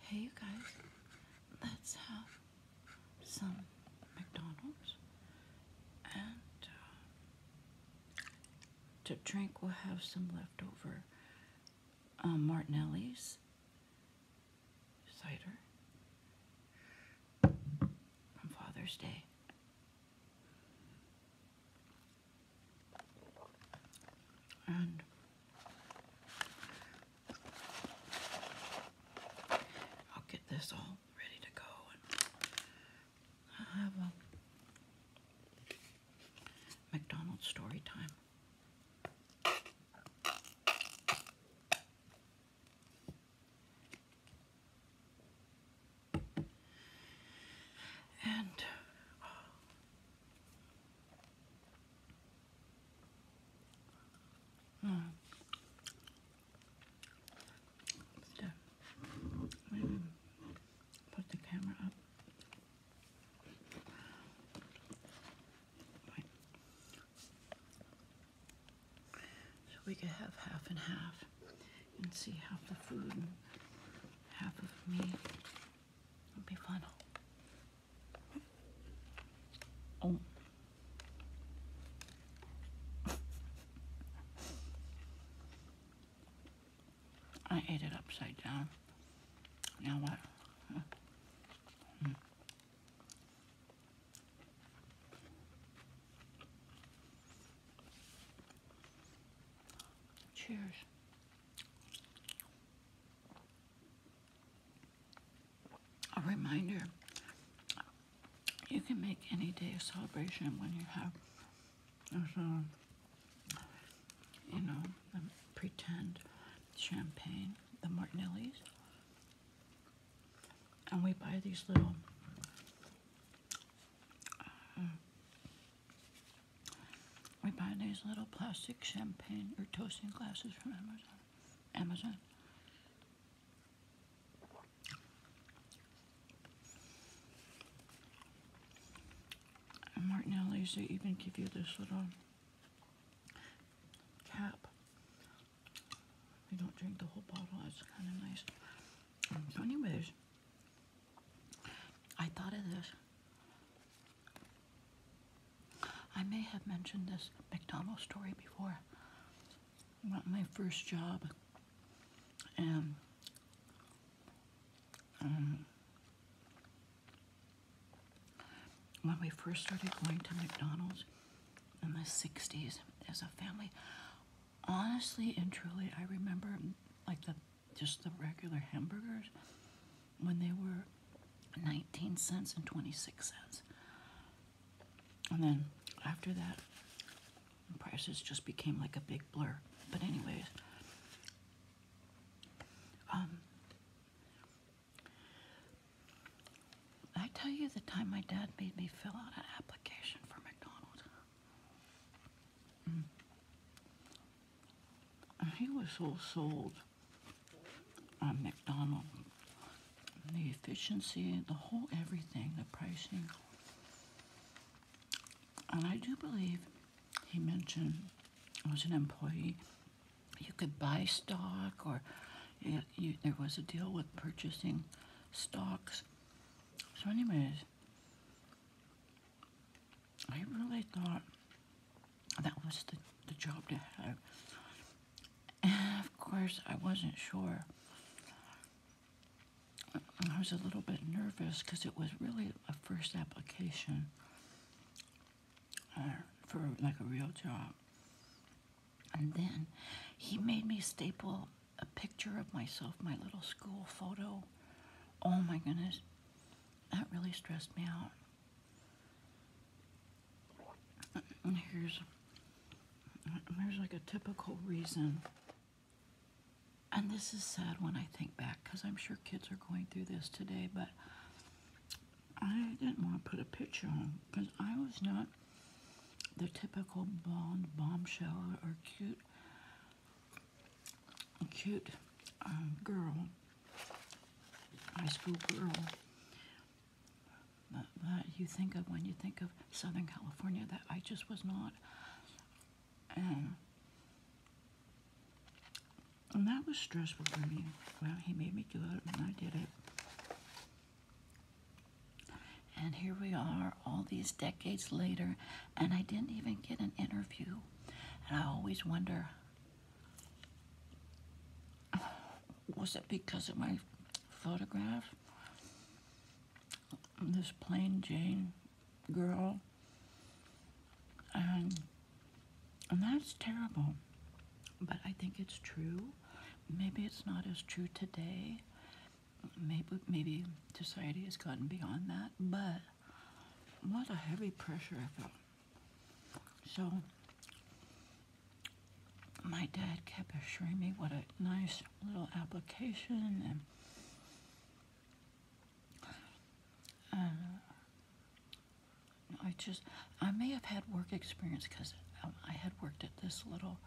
Hey you guys, let's have some McDonald's and uh, to drink we'll have some leftover um, Martinelli's cider on Father's Day. And I'll get this all ready to go i have a McDonald's story time. And Mm. Still, maybe put the camera up. So we could have half and half and see half the food and half of me. It'd be fun. Oh. I ate it upside down. Now what? Hmm. Cheers. A reminder you can make any day a celebration when you have, um, you know, pretend champagne, the Martinellis. And we buy these little uh, we buy these little plastic champagne or toasting glasses from Amazon. Amazon. And Martinelli's, they even give you this little cap. You don't drink the whole bottle, that's kind of nice. So anyways, I thought of this. I may have mentioned this McDonald's story before. My first job, and um, when we first started going to McDonald's in the 60s as a family, honestly and truly, I remember like the just the regular hamburgers when they were 19 cents and 26 cents. And then after that, prices just became like a big blur. But anyways, um, I tell you the time my dad made me fill out an application for McDonald's. He was so sold on McDonald. The efficiency, the whole everything, the pricing. And I do believe he mentioned was an employee, you could buy stock or there was a deal with purchasing stocks. So anyways, I really thought that was the, the job to have. And of course, I wasn't sure. I was a little bit nervous because it was really a first application uh, for like a real job. And then he made me staple a picture of myself, my little school photo. Oh my goodness, that really stressed me out. And here's, here's like a typical reason. And this is sad when I think back because I'm sure kids are going through this today, but I didn't want to put a picture on because I was not the typical blonde bombshell or cute cute um, girl, high school girl that, that you think of when you think of Southern California that I just was not. And, and that was stressful for me. Well, he made me do it, and I did it. And here we are, all these decades later, and I didn't even get an interview. And I always wonder was it because of my photograph? This plain Jane girl. And, and that's terrible. But I think it's true. Maybe it's not as true today maybe maybe society has gotten beyond that, but what a heavy pressure I felt. So my dad kept assuring me what a nice little application and um, I just I may have had work experience because um, I had worked at this little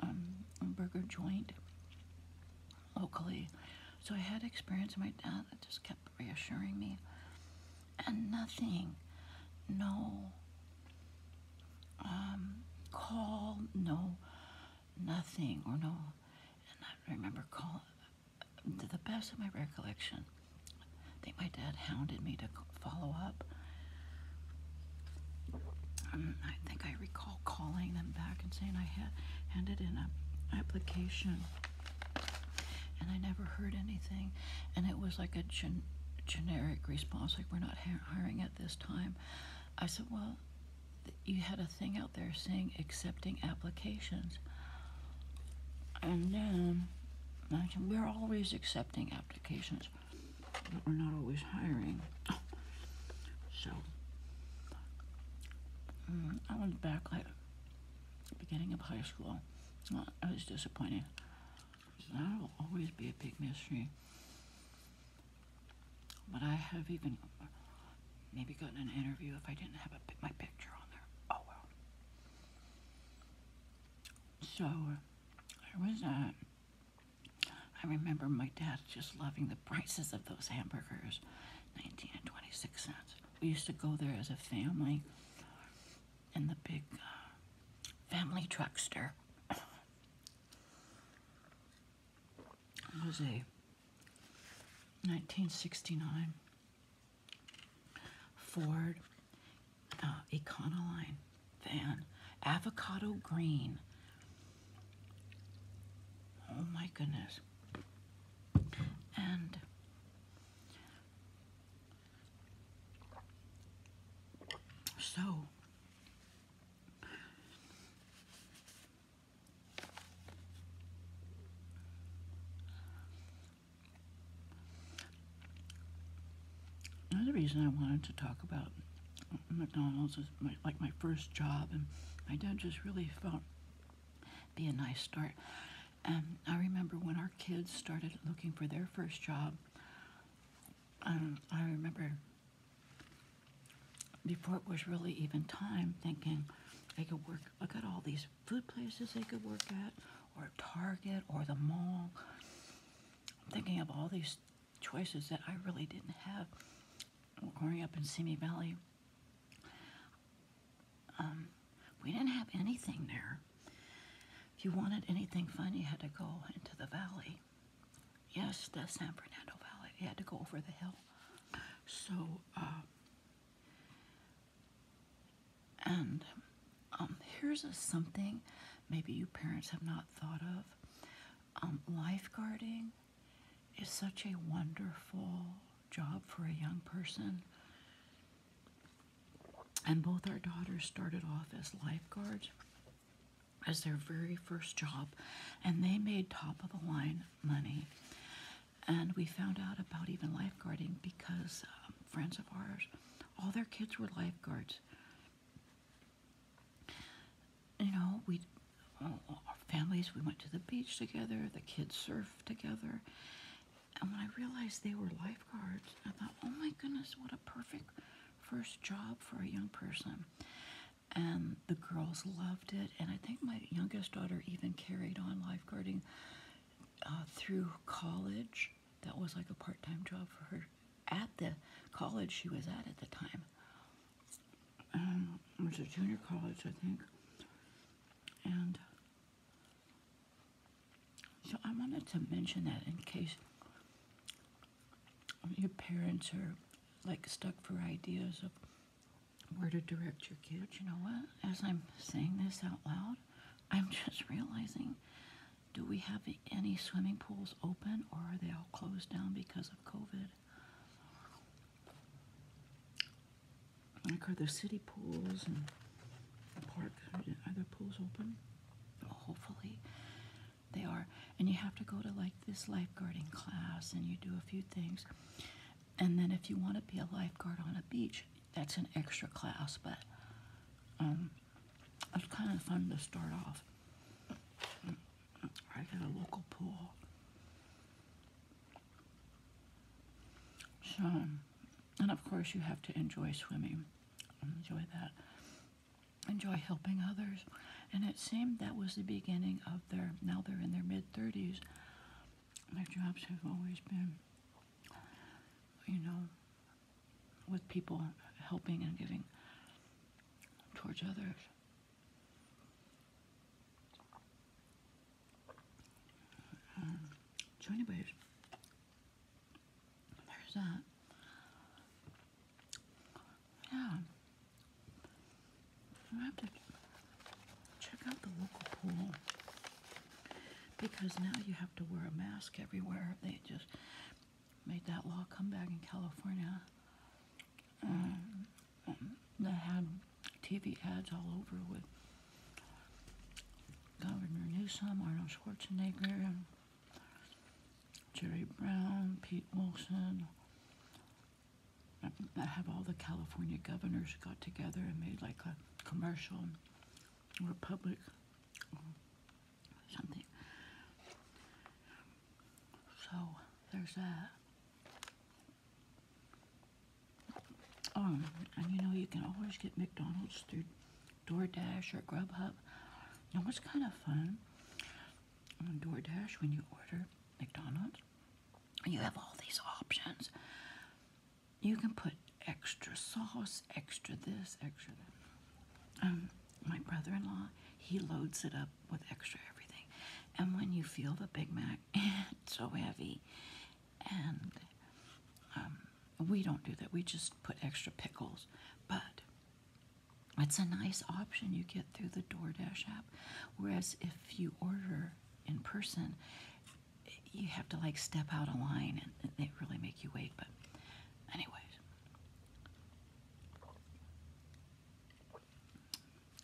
um, burger joint locally. So I had experience with my dad that just kept reassuring me. And nothing, no um, call, no nothing, or no, and I remember call, to the best of my recollection, I think my dad hounded me to follow up. Um, I think I recall calling them back and saying I had handed in an application and I never heard anything. And it was like a generic response, like, we're not hiring at this time. I said, well, you had a thing out there saying accepting applications. And then we're always accepting applications we're not always hiring. So, mm, I went back like beginning of high school. Uh, I was disappointed. So that'll always be a big mystery. But I have even maybe gotten an interview if I didn't have a, my picture on there. Oh well. So. Uh, there was a. I remember my dad just loving the prices of those hamburgers, 19 and 26 cents. We used to go there as a family in the big uh, family truckster. it was a 1969 Ford uh, Econoline Van Avocado Green. Oh my goodness. And so Another reason I wanted to talk about McDonald's is like my first job, and my dad just really felt be a nice start. And I remember when our kids started looking for their first job. Um, I remember before it was really even time thinking they could work. I got all these food places they could work at or Target or the mall. I'm thinking of all these choices that I really didn't have growing up in Simi Valley. Um, we didn't have anything there. If you wanted anything fun, you had to go into the valley. Yes, the San Fernando Valley. You had to go over the hill. So, uh, and um, here's something maybe you parents have not thought of. Um, lifeguarding is such a wonderful job for a young person. And both our daughters started off as lifeguards as their very first job, and they made top of the line money. And we found out about even lifeguarding because um, friends of ours, all their kids were lifeguards. You know, we, our families, we went to the beach together, the kids surfed together. And when I realized they were lifeguards, I thought, oh my goodness, what a perfect first job for a young person. And the girls loved it. And I think my youngest daughter even carried on lifeguarding uh, through college. That was like a part-time job for her at the college she was at at the time. Um, it was a junior college, I think. And so I wanted to mention that in case your parents are like stuck for ideas of where to direct your kids. You know what? As I'm saying this out loud, I'm just realizing do we have any swimming pools open or are they all closed down because of COVID? Like, are there city pools and the park, are there pools open? hopefully they are. And you have to go to like this lifeguarding class and you do a few things. And then if you want to be a lifeguard on a beach, that's an extra class, but um, it's kind of fun to start off. Right at a local pool. So, and of course, you have to enjoy swimming. Enjoy that. Enjoy helping others. And it seemed that was the beginning of their, now they're in their mid 30s, my jobs have always been, you know, with people helping and giving towards others. Um, there's that. Yeah check out the local pool because now you have to wear a mask everywhere. They just made that law come back in California um, that had TV ads all over with Governor Newsom, Arnold Schwarzenegger, Jerry Brown, Pete Wilson, I have all the California governors got together and made like a commercial or public or something. So there's that. Um, and you know, you can always get McDonald's through DoorDash or Grubhub. Now, was kind of fun on DoorDash when you order McDonald's you have all these options. You can put extra sauce, extra this, extra that. Um, my brother in law, he loads it up with extra everything. And when you feel the Big Mac, it's so heavy. And um, we don't do that, we just put extra pickles. But it's a nice option you get through the DoorDash app. Whereas if you order in person, you have to like step out a line and they really make you wait. But, anyways.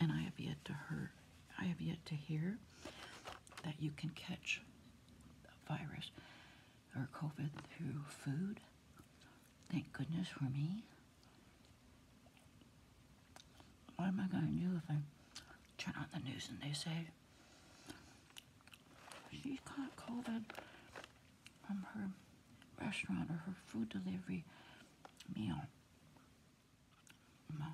And I have yet to hear, I have yet to hear that you can catch a virus or COVID through food. Thank goodness for me. Why am I going to do if I turn on the news and they say she caught COVID from her restaurant or her food delivery meal? No.